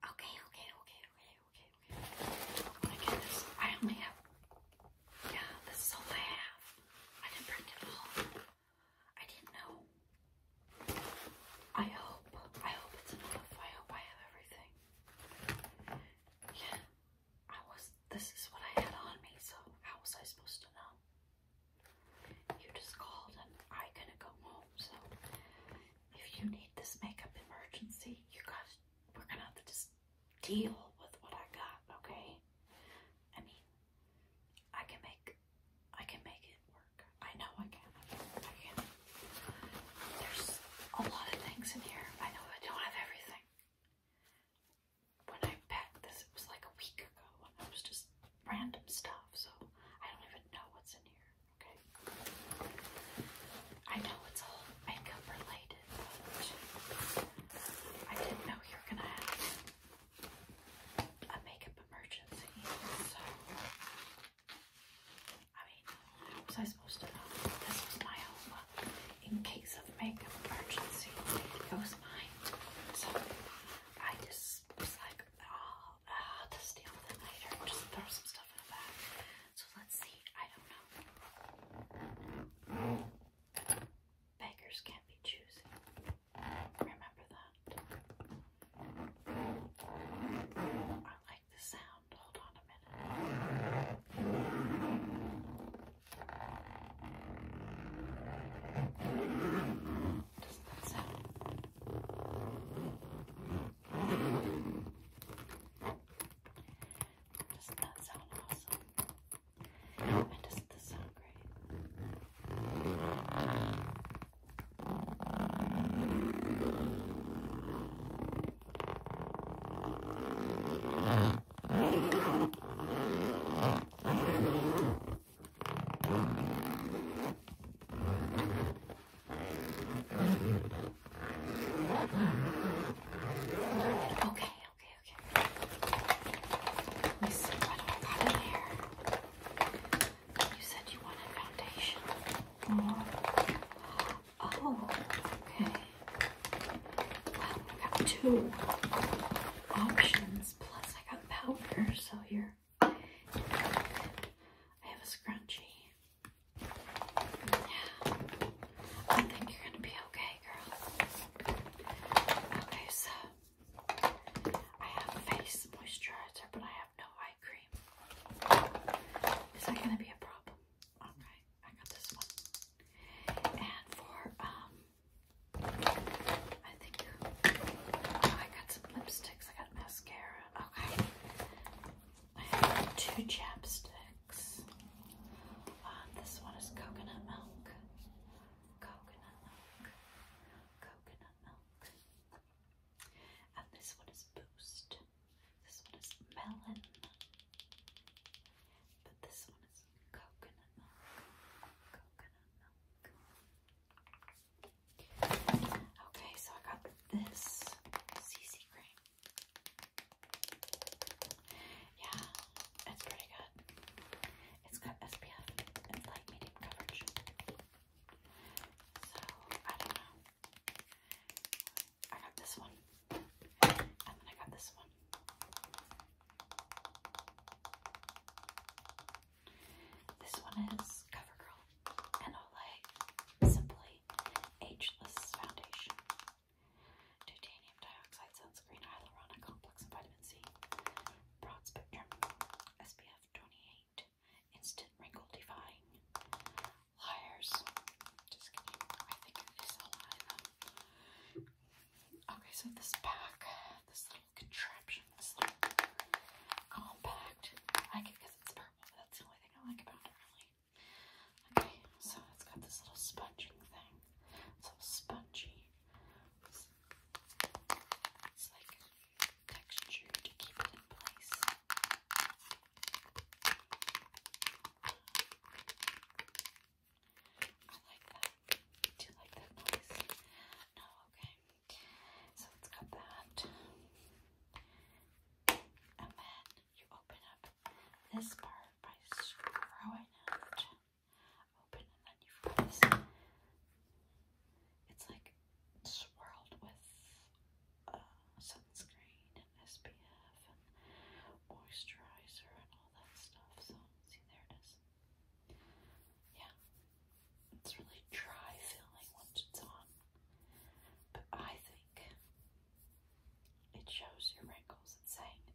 Okay, okay, okay, okay, okay, okay. I'm oh going I only have. Yeah, this is all I have. I didn't bring it all. I didn't know. I hope. I hope it's enough. I hope I have everything. Yeah, I was. This is what I had on me, so how was I supposed to know? You just called and I couldn't go home, so if you need this makeup emergency, you guys, we're gonna have to just deal with what I got, okay? I mean, I can make, I can make it work. I know I can. I can. There's a lot of things in here. I know I don't have everything. When I packed this, it was like a week ago, and it was just random stuff, so I don't even know what's in here. Okay. I know it's all makeup related, but I didn't know you were gonna have a makeup emergency, so I mean, how was I supposed to know? This was my home. In case of makeup emergency, it was mine. So I just was like, oh, uh, to steal on them later. just throw some stuff in the bag. So let's see. I don't know. Beggars can't be choosy. Remember that. I like the sound. Hold on a minute. Doesn't that sound? Doesn't that sound awesome? And doesn't this sound great? Okay, okay, okay. Let me see what I got in here. You said you wanted foundation. oh okay. Well, I got two options, plus I got powder, so here. I have a scrunchie. Yeah. I think you're gonna be okay, girl. Okay, so I have face moisturizer, but I have no eye cream. Is that gonna be a problem? Alright, I got this one. And for um I think oh, I got some lipsticks, I got mascara. Okay. I have two chapsticks. Uh, this one is coconut milk. Coconut milk. Coconut milk. And this one is boost. This one is melon. But this one is coconut milk. Coconut milk. Okay, so I got this CC cream. Yeah, it's pretty good. It's got SPF. It's light medium coverage. So, I don't know. I got this one. And then I got this one. This one is CoverGirl and Olay Simply Ageless Foundation. Titanium dioxide sunscreen, hyaluronic complex, and vitamin C. Broad spectrum, SPF 28, instant wrinkle defying. Liars. Just kidding. I think it is a lie Okay, so this pack, this little contraption, this compact, I like it it's purple. Oh, that's the only thing I like about it, really. Okay, so it's got this little sponging thing. It's all spongy. It's, like texture to keep it in place. I like that. I do like that noise. No, okay. So it's got that. And then you open up this part by screwing it open, and then you've this. It's like swirled with uh, sunscreen and SPF and moisturizer and all that stuff. So, see, there it is. Yeah, it's really dry feeling once it's on. But I think it shows your wrinkles. It's saying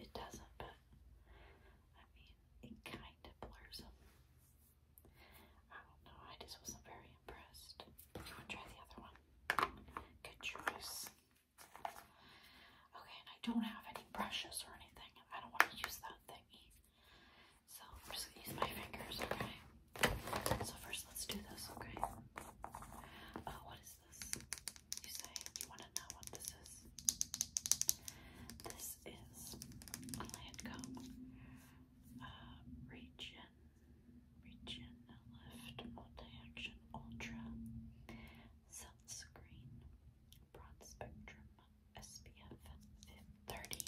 it, doesn't, but I mean, it kind of blurs them. I don't know. I just wasn't very impressed. You want to try the other one? Good choice. Okay, I don't have any brushes or anything. I don't want to use that thingy. So I'm just gonna use my fingers, okay? So first let's do this, okay? Uh, what is this? You say you wanna know what this is? This is Lancome uh, Region, Lift Multi-Action Ultra Sunscreen Broad Spectrum SPF 30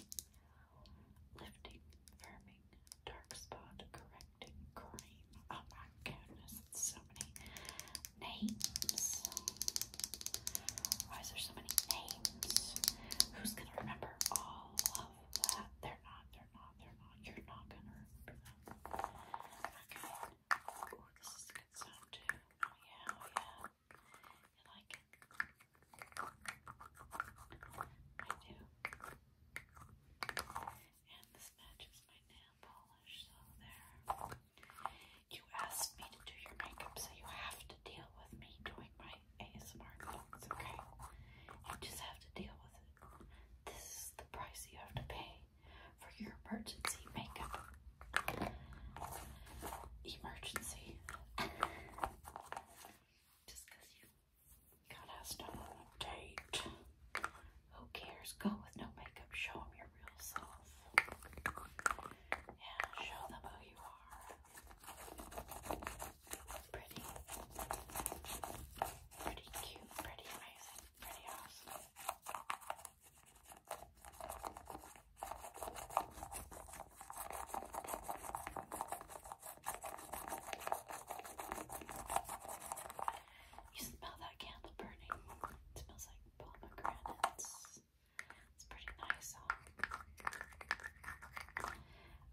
Lifting Firming, dark spot correcting cream. Oh my goodness, so many names. Why is there so many names? Who's gonna remember all of that? They're not, they're not, they're not. You're not gonna remember Okay. Oh, this is a good sound too. Oh, yeah, oh, yeah. You like it? I do. And this matches my nail polish, so there. You asked me to do your makeup, so you have to deal with me doing my ASMR looks, okay? You just have to deal with it. This is the price you have to pay for your emergency makeup. Emergency. Just you God, I still date. Who cares? Go with no makeup. Show them your real self. Yeah, show them who you are. Pretty. Pretty cute. Pretty amazing. Pretty awesome. You smell that candle burning. It smells like pomegranates. It's pretty nice, huh?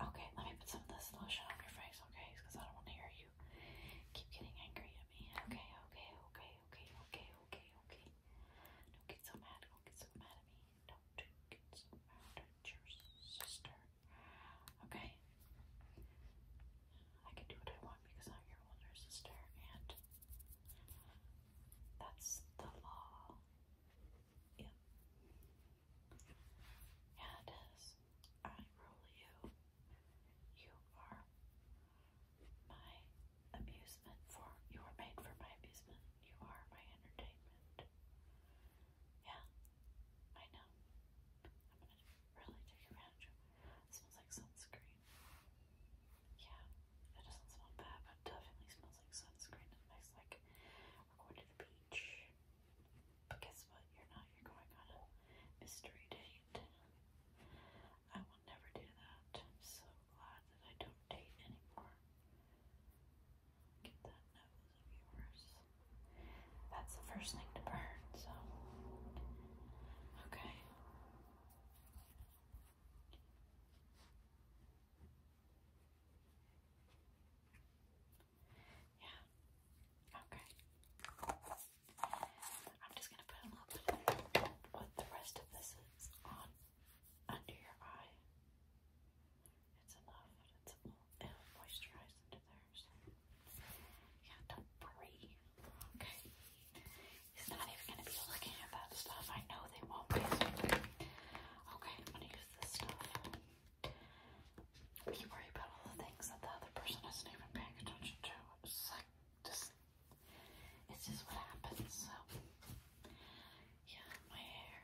Okay, let me put some of this lotion on your face, okay? Because I don't want to hear you keep getting angry at me. Okay, okay, okay, okay, okay, okay, okay. Don't get so mad. Don't get so mad at me. Don't get so mad at your sister. Okay. I can do what I want because I'm your older sister, and that's the law. Yeah. Yeah, it is. I rule you. You are my amusement for you are made for my amusement. You are my entertainment. Yeah, I know. I'm gonna really take advantage of smells like sunscreen. Yeah, it doesn't smell bad, but definitely smells like sunscreen. It like we're going to the beach. But guess what? You're not. You're going on a mystery date. I will never do that. so glad that I don't date anymore. Get that nose of yours. That's the first thing to burn, so. Okay. Yeah. Okay. I'm just going to put a little bit of what the rest of this is on under your eye. It's enough, it's a little under there. yeah, don't worry. Okay. He's not even gonna be looking at that stuff. I know they won't be. Okay, I'm gonna use this stuff. You worry about all the things that the other person isn't even paying attention to. it's just what happens, so yeah, my hair.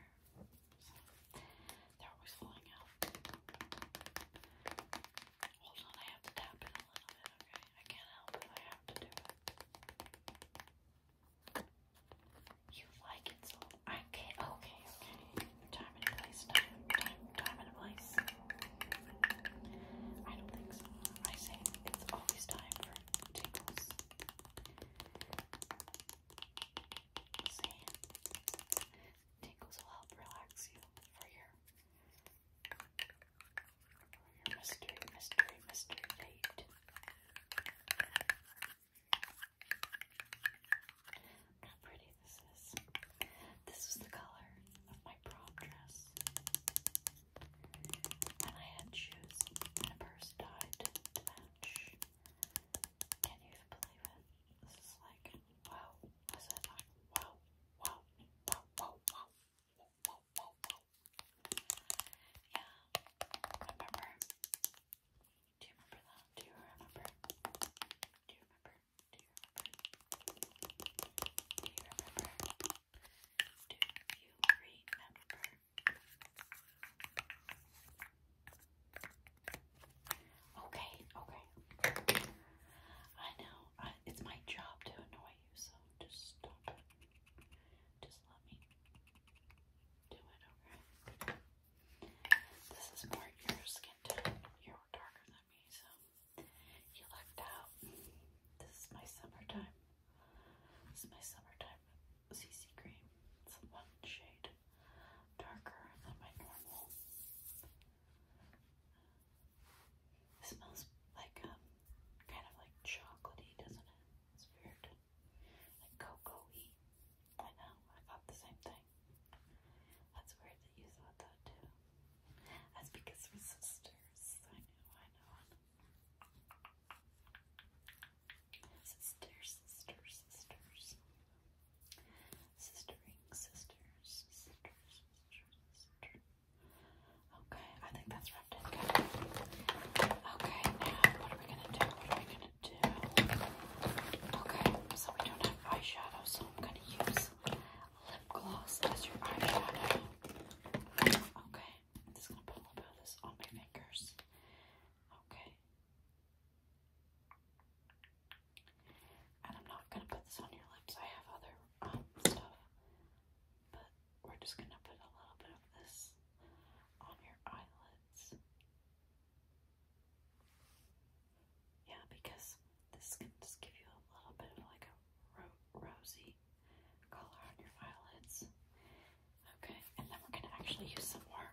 They're always falling out. Hold on, I have to tap it a little bit, okay? I can't help it, I have to do it. You like it so I can't okay, okay. Time and place, time, time, and place. I don't think so. I say it's always time for tingles. See? Tingles will help relax you for your, for your mystery, mystery, mystery date. how pretty this is. This was the color of my prom dress. And I had shoes and a purse tied to match. Can you believe it? This is like, wow. I said like, wow, wow, wow, wow, wow, wow, wow, wow, Yeah, Do you remember? Do you remember? Do you remember? Do you remember? Do you remember? Do you remember? Okay, okay. I know. it's my job to annoy you, so just stop Just let me do it, This is more your skin tone. You're darker than me, so you lucked out. This is my summertime. This is my summertime CC cream. It's one shade darker than my normal. It smells like um kind of like chocolatey, doesn't it? It's weird. Like cocoa-y. I know, I thought the same thing. That's weird that you thought that too. That's because we're sisters. I know, I know. Sisters, sisters, sisters. Sistering, sisters, sisters, sisters, sister. Okay, I think that's wrapped in good. Okay, now what are we gonna do? What are we gonna do? Okay, so we don't have eyeshadow, so I'm gonna use lip gloss as your eyeshadow. Okay, I'm just gonna put a little bit of this on my fingers. Okay, and I'm not gonna put this on your lips. I have other um, stuff, but we're just gonna put a little bit of this on your eyelids. Yeah, because this can just give you a little bit of like a rosy color on your eyelids. Okay, and then we're gonna actually use some more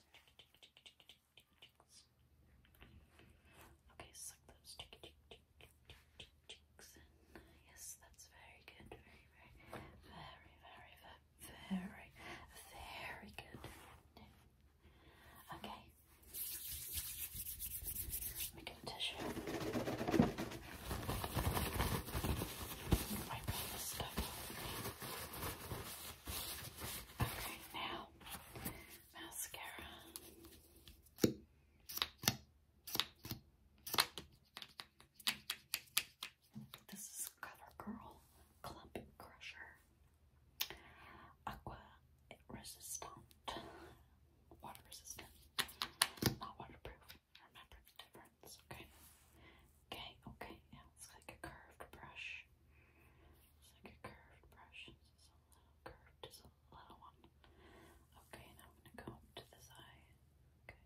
Okay, suck those. Yes, that's very good. Very, very, very, very, very, very good. Okay. Let a tissue. Wipe this stuff Okay, now mascara. This is CoverGirl Clump Crusher Aqua Resistant, water resistant, not waterproof. Remember the difference, okay? Okay, okay, yeah, it's like a curved brush. It's like a curved brush. It's a little curved, it's a little one. Okay, now I'm gonna go up to this eye. Okay.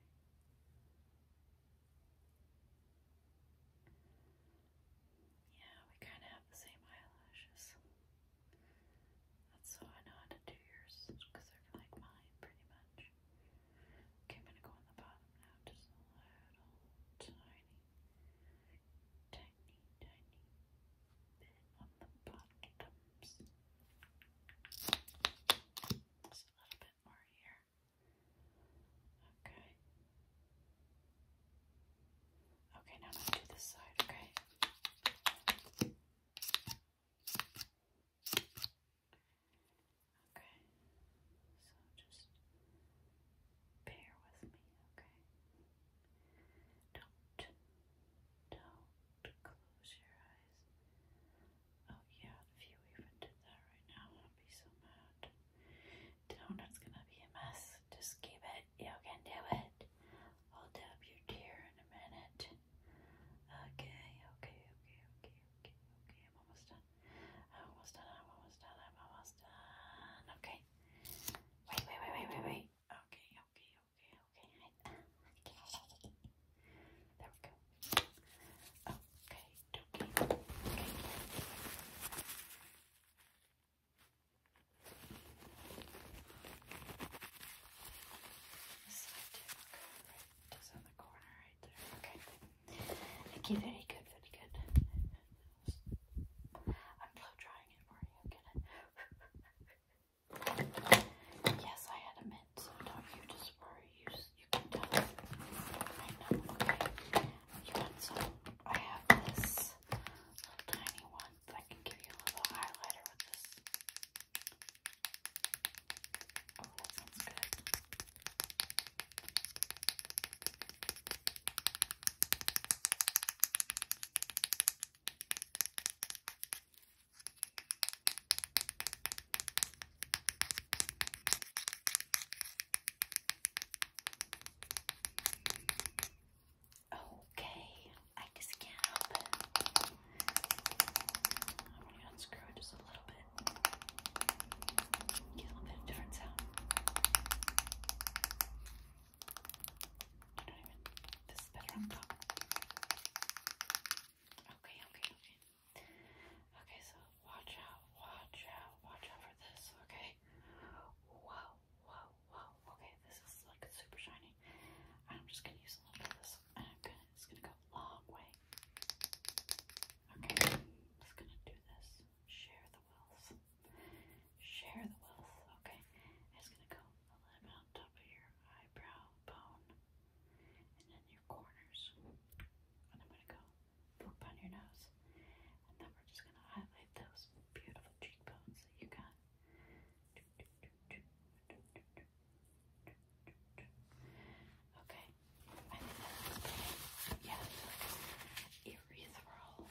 Yeah, we kind of have the same eyelashes. That's how I know how to do yours, because they're like mine pretty much. Okay, I'm gonna go on the bottom now, just a little tiny, tiny, tiny bit on the bottoms. Just a little bit more here. Okay. Okay, now I'm gonna do this side, Okay. Okay, so just bear with me, okay? Don't, don't close your eyes. Oh yeah, if you even did that right now, I'd be so mad. Donuts gonna be a mess. Just keep it. You can do it. I'll tap your tear in a minute. Okay, okay, okay, okay, okay, okay. I'm almost done almost done. almost done. almost done. Okay. Wait, wait, wait, wait, wait, wait. Okay, okay, okay, okay. There we go. Okay, okay, okay. This side too. Okay, right. This other corner right there. Okay. Okay, very good, very good. I'm blow drying it for you, yes, I had a mint, don't you just You, just, you can tell it right now, okay? You want some? I have this little tiny one. I can give you a little highlighter with this. Oh, that sounds good. Okay, I just can't help it. I'm gonna unscrew it just a little bit. Get a little bit of different sound. I don't even. This better Okay, okay, okay. so watch out, watch out, watch out for this, okay? Whoa, whoa, whoa. Okay, this is like super shiny. I'm just gonna use a little bit of this and it's gonna go a long way. Okay, just gonna do this. Share the wealth. Share the wealth. Okay, it's gonna go a little bit on top of your eyebrow bone and then your corners. And I'm gonna go boop on your nose. And then we're just gonna highlight those beautiful cheekbones that you got. Okay, I think that's pretty. Yeah, it's like ethereal,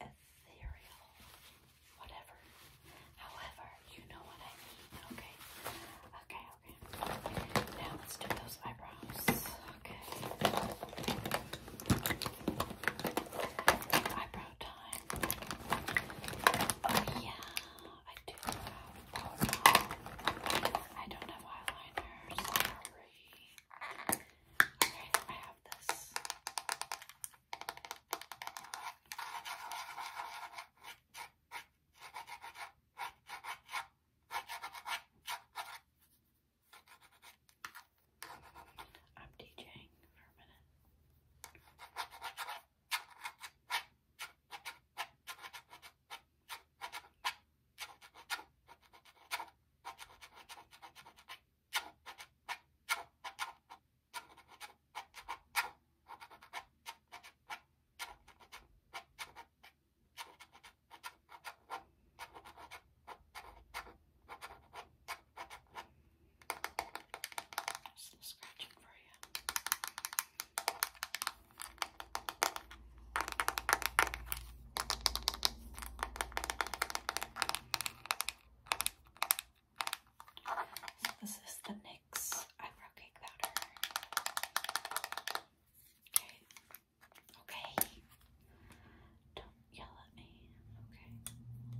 ethereal, whatever. However, you know what I mean, okay? Okay, okay. Now let's do those eyebrows. Okay. Eyebrow time. Oh yeah, I do have I don't have eyeliners diary. Okay, I have this. I'm DJing for a minute. Some scratching for you. So this is the NYX eyebrow cake powder. Okay. Okay. Don't yell at me.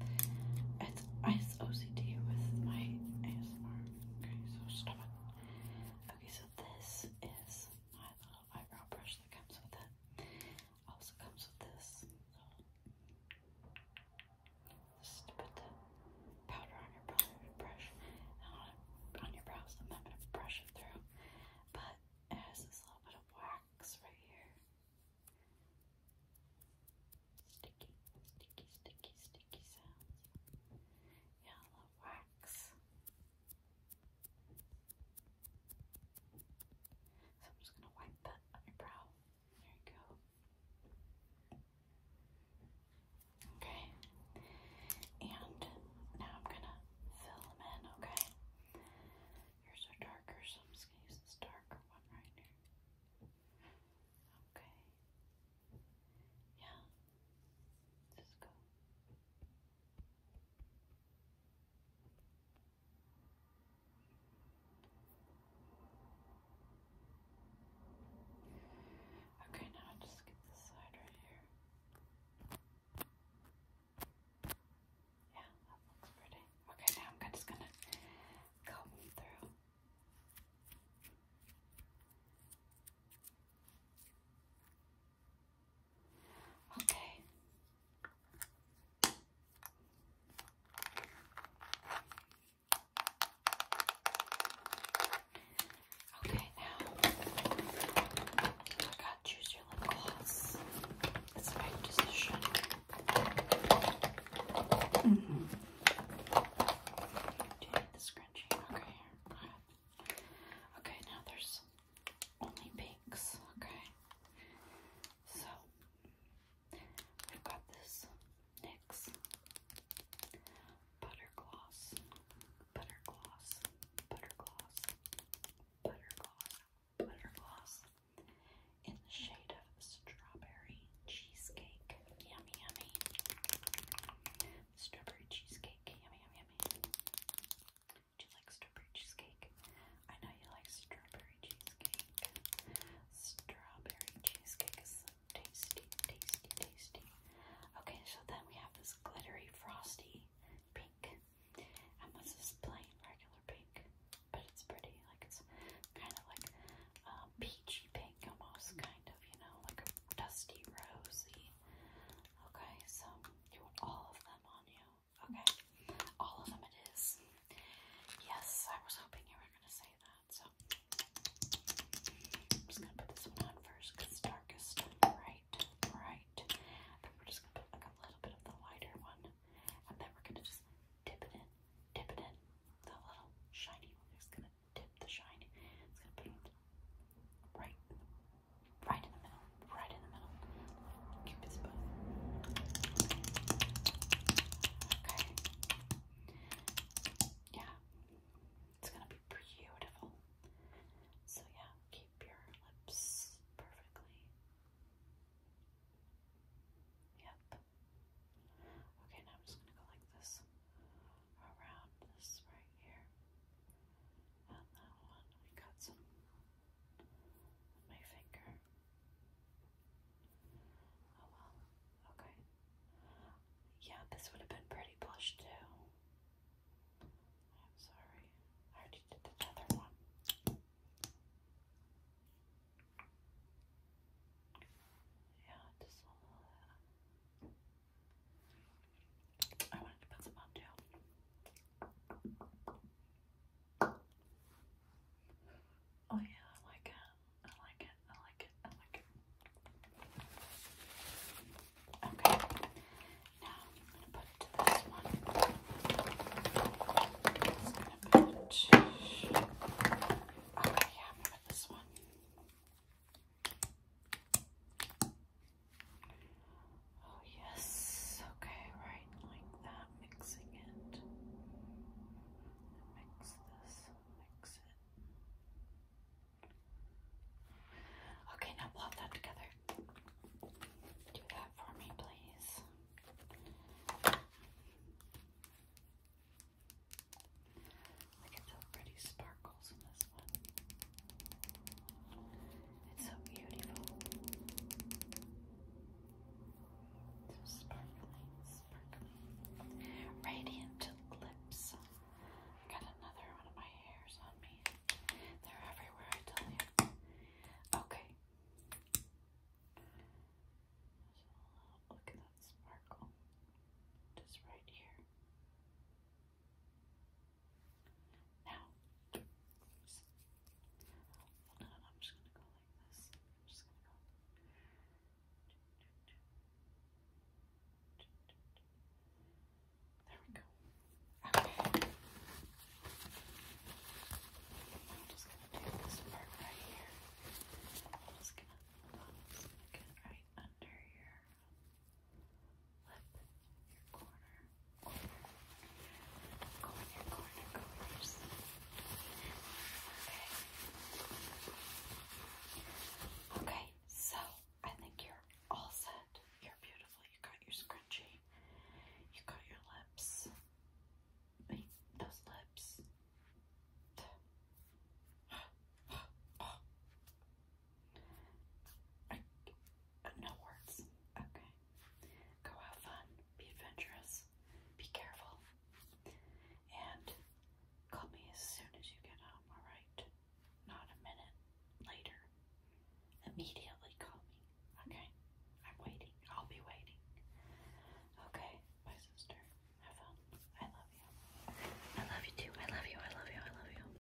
Okay. It's it's OCD with my ASMR. Okay, so stop it. Okay, so this is my little eyebrow brush that comes with it. Also comes with this. So, powder on your brush on, your brows. I'm not going to brush it through, but it has this little bit of wax right here. Sticky, sticky, sticky, sticky sounds. Yeah, wax. So I'm just going to wipe that on There you go. Okay. And now I'm going to fill them in, okay? Yours are darker, so I'm just going to use this darker one right here. Okay. Yeah. Just go. Okay, now i just get this side right here. Yeah, that looks pretty. Okay, now I'm just gonna comb through. Okay. Okay, now I got choose your lip gloss. It's my decision. Mm-hmm. Do you need the scrunchie? Okay, Okay, now there's only pinks, okay? So, I've got this NYX Butter Gloss, Butter Gloss, Butter Gloss, Butter Gloss, Butter Gloss in the shade of Strawberry Cheesecake. Yummy, yummy. Strawberry Cheesecake, yummy, yummy, do you strawberry cheesecake? I know you like strawberry cheesecake. Strawberry cheesecake is so tasty, tasty, tasty. Okay, so then we have this glittery, frosty pink. And this is plain, regular pink, but it's pretty. Like it's kind of like peachy pink almost, kind of, you know, like dusty rosy. Okay, so you all of them on you. Okay. All of them it is. Yes, I was hoping you were going to say that. So I'm just going to put this one on first it's darkest. Right, right. But we're just going to put like a little bit of the lighter one. And then we're going to just dip it in. Dip it in. The little shiny one is going to dip the shiny. It's going to put it right Right in the middle. Right in the middle. Cupid's bow. Okay. Yeah. It's gonna be beautiful. So yeah, keep your lips perfectly. Yep. Okay, now I'm just gonna go like this around this right here that one, we got some my finger. Oh well, okay. Yeah, this would have been pretty blush too. I'm sorry. I already did the other one. Yeah, just a little bit. I wanted to put some on too. Oh yeah, I like it. I like it. I like it. I like it. Okay. Now I'm gonna put this one. I'm gonna put this one. Oh, yes. Okay, right, like that, mixing it. Mix this, mix it. Okay, now plot that together. Do that for me, please. Look at the pretty sparkle. It's so beautiful. So sparkling, sparkling. Radiant lips. I got another one of my hairs on me. They're everywhere, I tell you. Okay. look at that sparkle. Just right here. Now, oops. I'm just going to go like this. I'm just going to go. There we go. Okay. I'm just going to take this part right here. I'm just going to get right under here left your corner, corner, corner, corners. Okay. Okay, so I think you're all set. You're beautiful. You got your scrunchie. You got your lips. those lips. I, uh, no words. Okay. Go have fun. Be adventurous. Be careful. And call me as soon as you get home, alright? Not a minute later. Immediately call me, okay? I'm waiting. I'll be waiting. Okay, my sister. Have fun. I love you. I love you too. I love you. I love you. I love you.